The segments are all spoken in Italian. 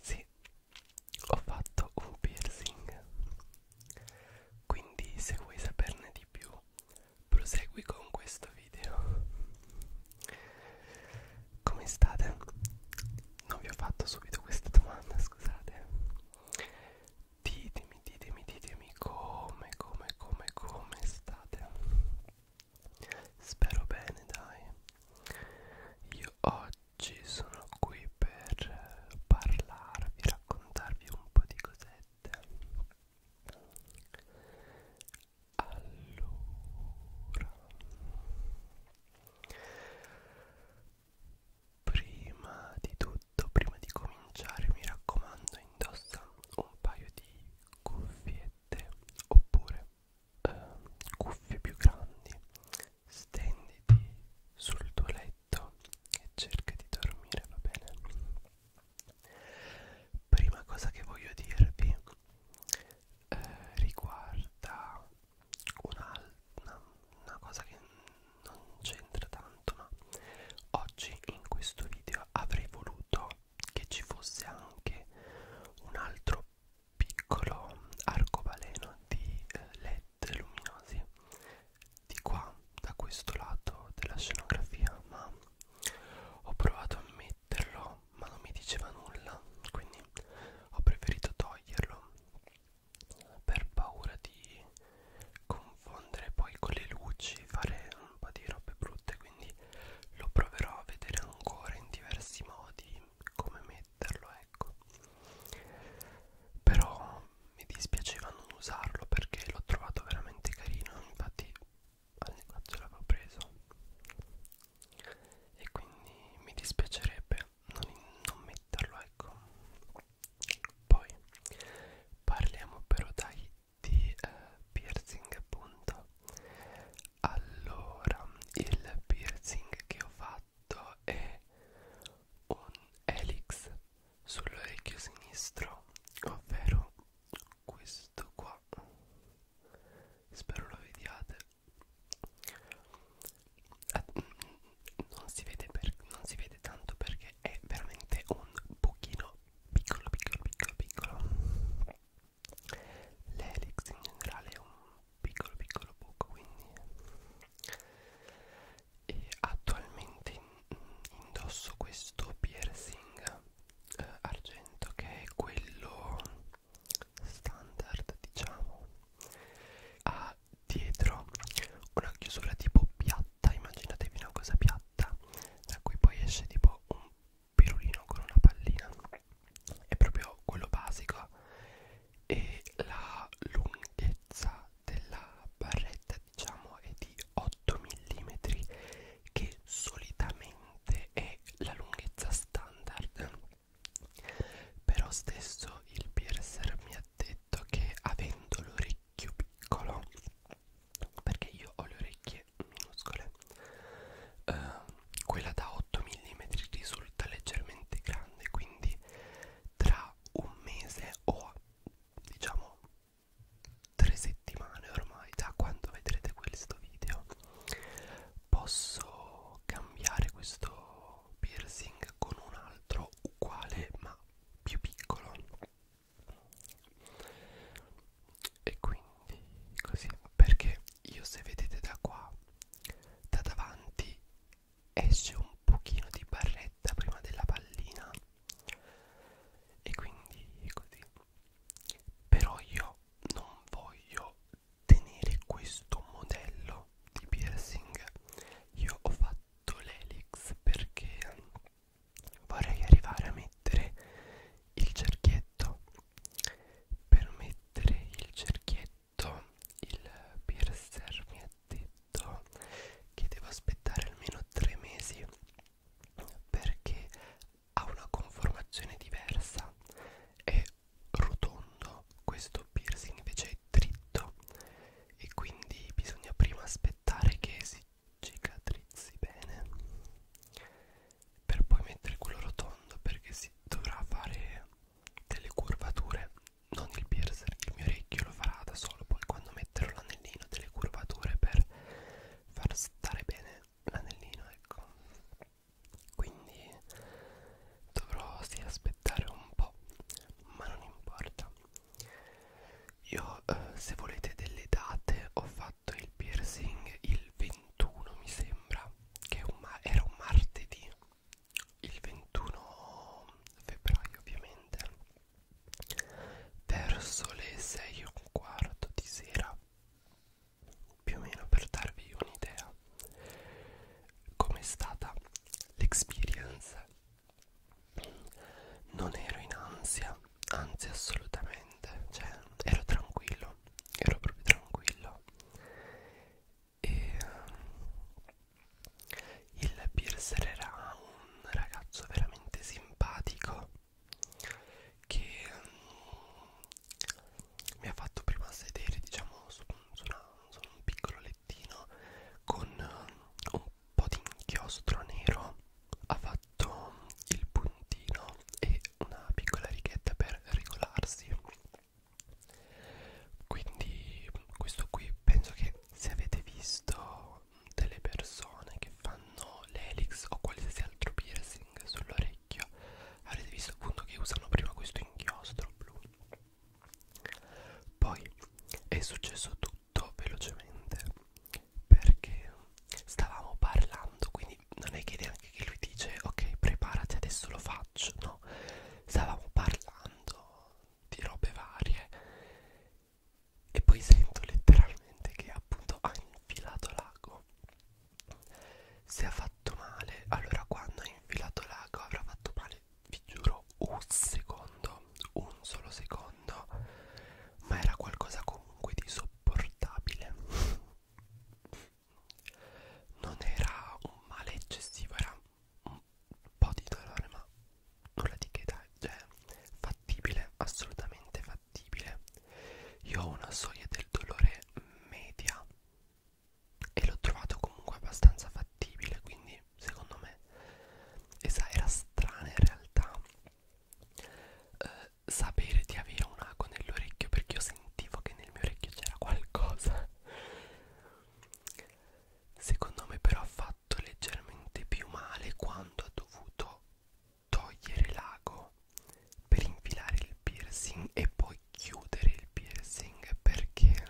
Sì, ho fatto un piercing. Quindi se vuoi saperne di più, prosegui con questo video. Come state? Non vi ho fatto subito questa domanda, scusate. Ditemi ditemi, ditemi, ditemi come, come, come, come state. Spero bene, dai. Io oggi sono qui per parlarvi, raccontarvi un po' di cosette. Allora, prima di tutto, prima di cominciare, mi raccomando, indossa un paio di cuffiette oppure eh, cuffie più grandi stenditi sul tuo letto e cerca di dormire va bene prima cosa che voglio dirvi eh, riguarda una, una, una cosa che non c'entra tanto tanto ma oggi in questo video avrei voluto che ci fosse anche un altro piccolo arcobaleno di eh, led luminosi di qua da questo lato della scenografia ma ho provato a metterlo ma non mi diceva nulla quindi ho preferito toglierlo per paura di confondere poi con le luci, fare un po' di robe brutte, quindi lo proverò a vedere ancora in diversi modi come metterlo, ecco. Però mi dispiaceva non usarlo perché l'ho trovato veramente carino, infatti al negozio l'avevo preso e quindi mi dispiacerebbe non, non metterlo ecco poi parliamo però dai di eh, piercing appunto allora il piercing che ho fatto è un helix sull'orecchio sinistro ovvero questo qua spero lo vediate non si vede, per, non si vede tanto perché è veramente un pochino piccolo, piccolo, piccolo, piccolo, piccolo. L'elix in generale è un piccolo, piccolo buco, quindi e attualmente indosso questo piercing eh, argento che è quello standard diciamo ha dietro una chiusura tipo piatta immaginatevi una cosa piatta piatta da cui poi esce tipo un pirulino con una pallina è proprio quello basico e la lunghezza della barretta diciamo è di 8 mm che solitamente è la lunghezza standard però stesso il piercer mi ha detto che avendo l'orecchio piccolo perché io ho le orecchie minuscole eh, quella da 8 mm risulta leggermente grande quindi tra un mese o diciamo tre settimane ormai da quando vedrete questo video posso cambiare questo piercing con un altro uguale ma più piccolo e quindi così perché io se vedete da qua da davanti esce un pochino di barretta prima della pallina e quindi così però io non voglio tenere questo modello di piercing io ho fatto fatto l'elix perché ehm, vorrei arrivare a mettere il cerchietto per mettere il cerchietto il piercer mi ha detto che devo aspettare almeno tre mesi perché ha una conformazione diversa è rotondo questo piercing invece è dritto e quindi bisogna prima aspettare che si cicatrizzi bene per poi mettere quello rotondo perché si dovrà fare delle curvature non il piercer il mio orecchio lo farà da solo poi quando metterò l'anellino delle curvature per far stare bene l'anellino ecco quindi dovrò sì, aspettare aspettare un po' ma non importa io eh, se volete delle date ho fatto il piercing il 21 mi sembra che un era un martedì il 21 febbraio ovviamente verso le 6 e un quarto di sera più o meno per darvi un'idea com'è stata l'experience non ero in ansia, anzi assolutamente, cioè ero tranquillo, ero proprio tranquillo e ehm, il piercer era un ragazzo veramente simpatico che ehm, mi ha fatto prima sedere diciamo su, su, una, su un piccolo lettino mattino con eh, un po' di inchiostro nero ha fatto il puntino e una piccola righetta per regolarsi quindi questo qui penso che se avete visto delle persone che fanno l'elix o qualsiasi altro piercing sull'orecchio avrete visto appunto che usano prima questo inchiostro blu poi è successo tutto velocemente perché stavamo parlando, quindi non è che neanche che lui dice ok preparati adesso lo faccio, no, stavamo parlando di robe varie e poi sento letteralmente che appunto ha infilato l'ago. Se ha fatto male, allora quando ha infilato l'ago avrà fatto male vi giuro un secondo un solo secondo ma era qualcosa comunque di sopportabile non era un male eccessivo era un po' di dolore ma nulla di che dai cioè fattibile assolutamente fattibile io ho una soglia del dolore media e l'ho trovato comunque abbastanza fattibile quindi secondo me e sa, era strana in realtà eh, sapere di avere un ago nell'orecchio perché io sentivo che nel mio orecchio c'era qualcosa secondo me però ha fatto leggermente più male quando ha dovuto togliere l'ago per infilare il piercing e poi chiudere il piercing perché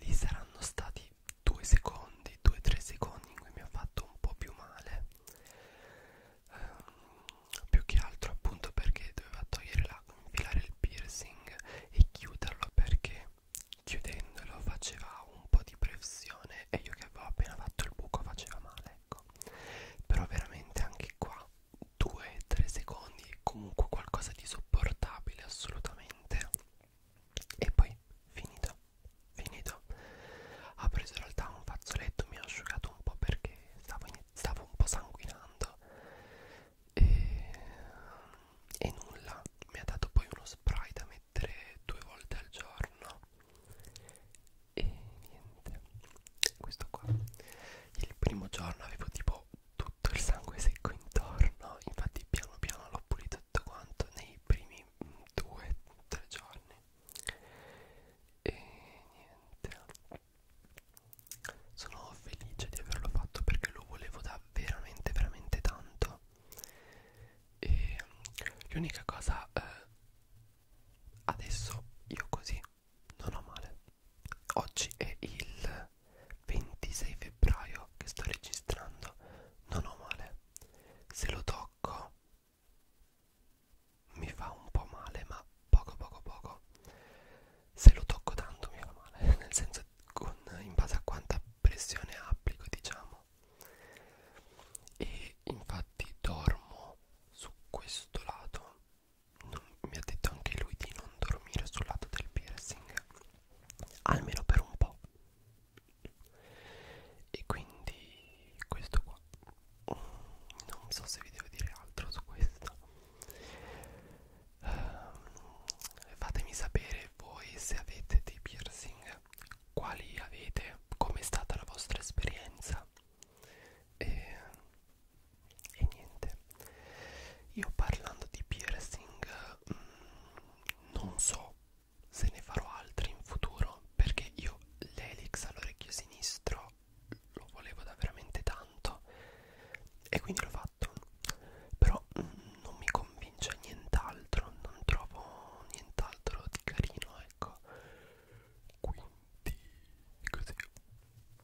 lì saranno stati due secondi, due tre secondi in cui mi ha fatto un po' più male um, più che altro appunto perché doveva togliere l'acqua, infilare il piercing e chiuderlo perché chiudendolo faceva un po' di pressione e io che avevo appena fatto il buco faceva male ecco però veramente anche qua 2-3 secondi comunque qualcosa di sopportabile assolutamente e poi finito finito ho preso in realtà un fazzoletto mi ho asciugato un po' perché stavo, stavo un po' sanguinando e, e nulla mi ha dato poi uno spray da mettere due volte al giorno e niente questo qua il primo giorno avevo tipo tutto il sangue secco intorno infatti piano piano l'ho pulito tutto quanto nei primi due tre giorni e niente sono felice di averlo fatto perché lo volevo da veramente veramente tanto e l'unica cosa eh, adesso io così non ho male oggi è il 26 febbraio che sto registrando non ho male se lo tocco mi fa un po' male ma poco poco poco se lo tocco tanto mi fa male nel senso con, in base a quanta pressione applico diciamo e infatti dormo su questo lato non, mi ha detto anche lui di non dormire sul lato del piercing almeno per un po' e quindi questo qua non so se vi devo dire altro su questo uh, fatemi sapere voi se avete dei piercing quali avete com'è stata la vostra esperienza e e niente io parlando di piercing mh, mm, non so se ne farò altri in futuro perché io l'elix all'orecchio sinistro lo volevo da veramente tanto e quindi l'ho fatto però mh, mm, non mi convince nient'altro non trovo nient'altro di carino ecco quindi così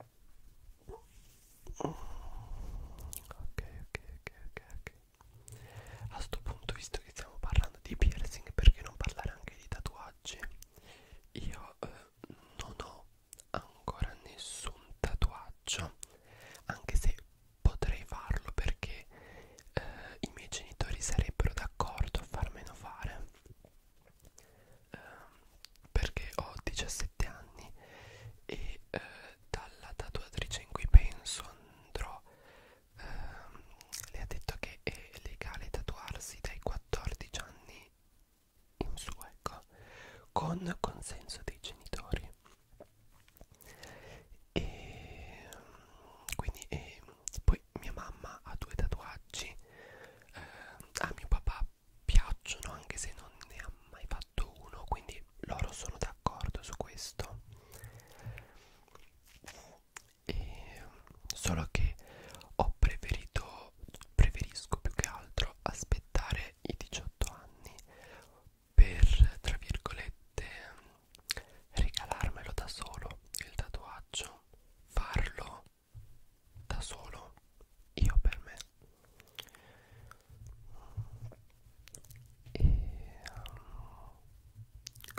ok ok ok ok ok a sto punto visto che stiamo parlando di piercing perché non parlare anche di tatuaggi io eh, non ho ancora nessun tatuaggio anche se potrei farlo perché eh, i miei genitori sarebbero d'accordo a farmelo fare ehm, perché ho 17 anni e eh, dalla tatuatrice in cui penso andrò ehm, le ha detto che è legale tatuarsi dai 14 anni in su ecco con consenso dei genitori e ehm, quindi e, poi mia mamma ha due tatuaggi eh, a mio papà piacciono anche se non ne ha mai fatto uno quindi loro sono d'accordo su questo e solo che ho preferito preferisco più che altro aspettare i 18 anni per tra virgolette regalarmelo da solo il tatuaggio farlo da solo io per me e um,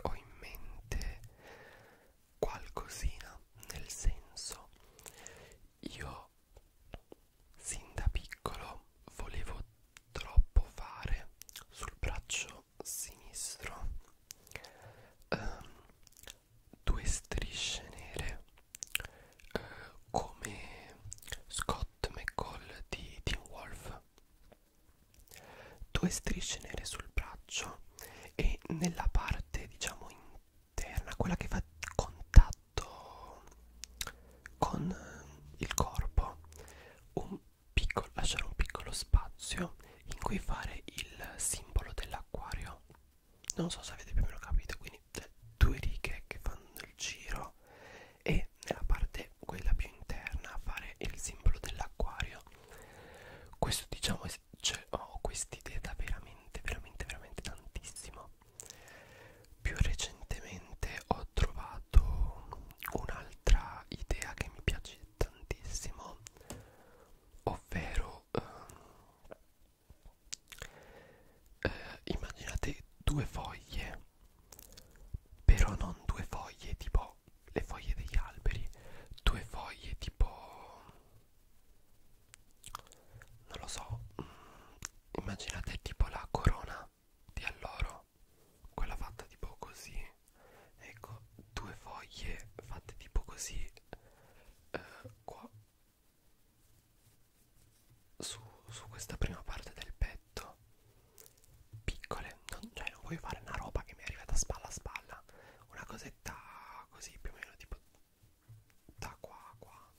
ho in mente qualcosina nel senso io sin da piccolo volevo troppo fare sul braccio sinistro um, due strisce nere eh, come Scott McCall di Teen Wolf due strisce nere sul braccio e nella parte diciamo interna quella che fa contatto con il corpo un piccolo lasciare un piccolo spazio in cui fare il simbolo dell'acquario non so se avete più o meno capito quindi due righe che fanno il giro e nella parte quella più interna a fare il simbolo dell'acquario questo diciamo cioè, ho quest'idea da veramente veramente veramente tantissimo più recentemente ho trovato un'altra idea che mi piace tantissimo ovvero ehm, eh, immaginate due foglie però non due foglie tipo le foglie degli alberi due foglie tipo non lo so mm, immaginate tipo la corona di alloro quella fatta tipo così ecco due foglie fatte tipo così eh, qua su, su questa prima parte del petto piccole non, cioè non voglio fare una roba che mi è arrivata spalla a spalla una cosetta così più o meno tipo da qua a qua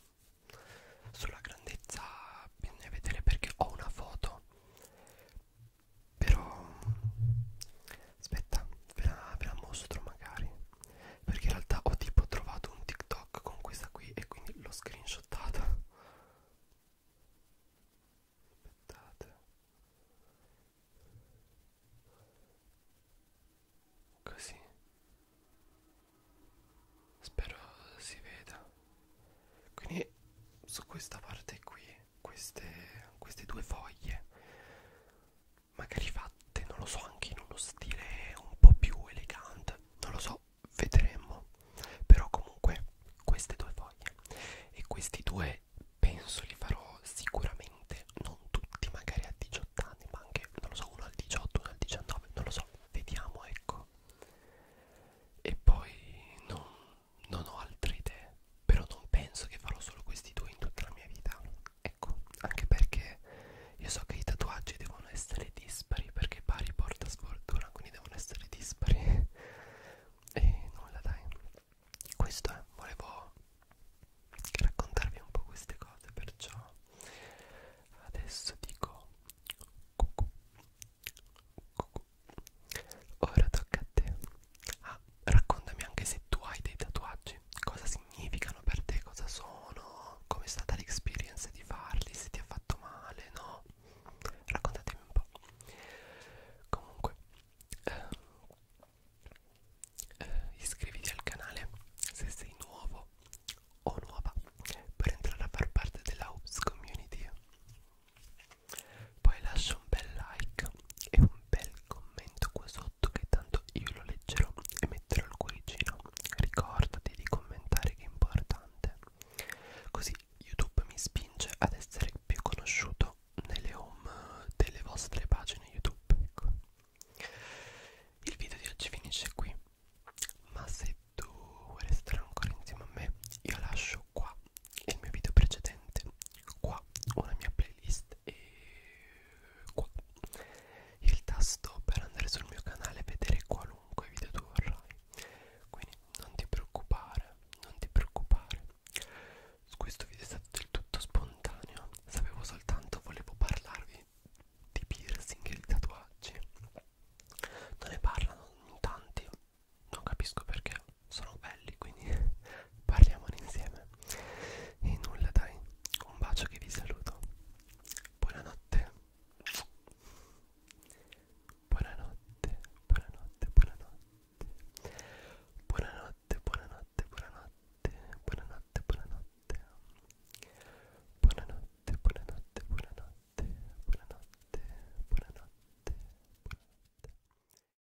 sulla grandezza bisogna vedere perché ho una foto però aspetta ve la, ve la mostro magari perché in realtà ho tipo trovato un tiktok con questa qui e quindi l'ho screenshottata aspettate così spero si veda quindi su questa parte qui queste, queste due foglie magari fatte, non lo so, anche in uno stile un po' più elegante, non lo so, vedremo. Però comunque queste due foglie e questi due penso li farò sicuramente, non tutti, magari a 18 anni, ma anche, non lo so, uno al 18, uno al 19, non lo so, vediamo, ecco. E poi non, non ho altre idee, però non penso che farò solo questi due in tutta la mia vita. Ecco, anche perché io so che i tatuaggi devono essere dispari perché pari porta sfortuna, quindi devono essere dispari. e nulla dai. Questo è, eh, volevo raccontarvi un po' queste cose, perciò adesso dico cucù. Cucù. Ora tocca a te. Ah, raccontami anche se tu hai dei tatuaggi, cosa significano per te, cosa sono, com'è stata l'experienza di farli, se ti ha fatto male, no? Raccontatemi un po'. Comunque, eh, eh, iscriviti al canale se sei nuovo o nuova per entrare a far parte della Hubs Community. Poi lascia un bel like e un bel commento commento qua sotto che tanto io lo leggerò e metterò il cuoricino ricordati di commentare che è importante così youtube mi spinge ad essere più conosciuto nelle home delle vostre pagine youtube ecco. il video di oggi finisce qui ma se tu vuoi restare ancora insieme a me io lascio qua il mio video precedente qua ho la mia playlist e qua il tasto per andare sul mio canale e vedere qualunque video tu vorrai quindi non ti preoccupare non ti preoccupare questo video è stato del tutto spontaneo sapevo soltanto volevo parlarvi di piercing e di tatuaggi non ne parlano in tanti non capisco perché sono belli quindi parliamone insieme e nulla dai un bacio che vi saluto buonanotte buonanotte buonanotte buonanotte buonanotte buonanotte buonanotte buonanotte buonanotte buonanotte buonanotte buonanotte buonanotte buonanotte buonanotte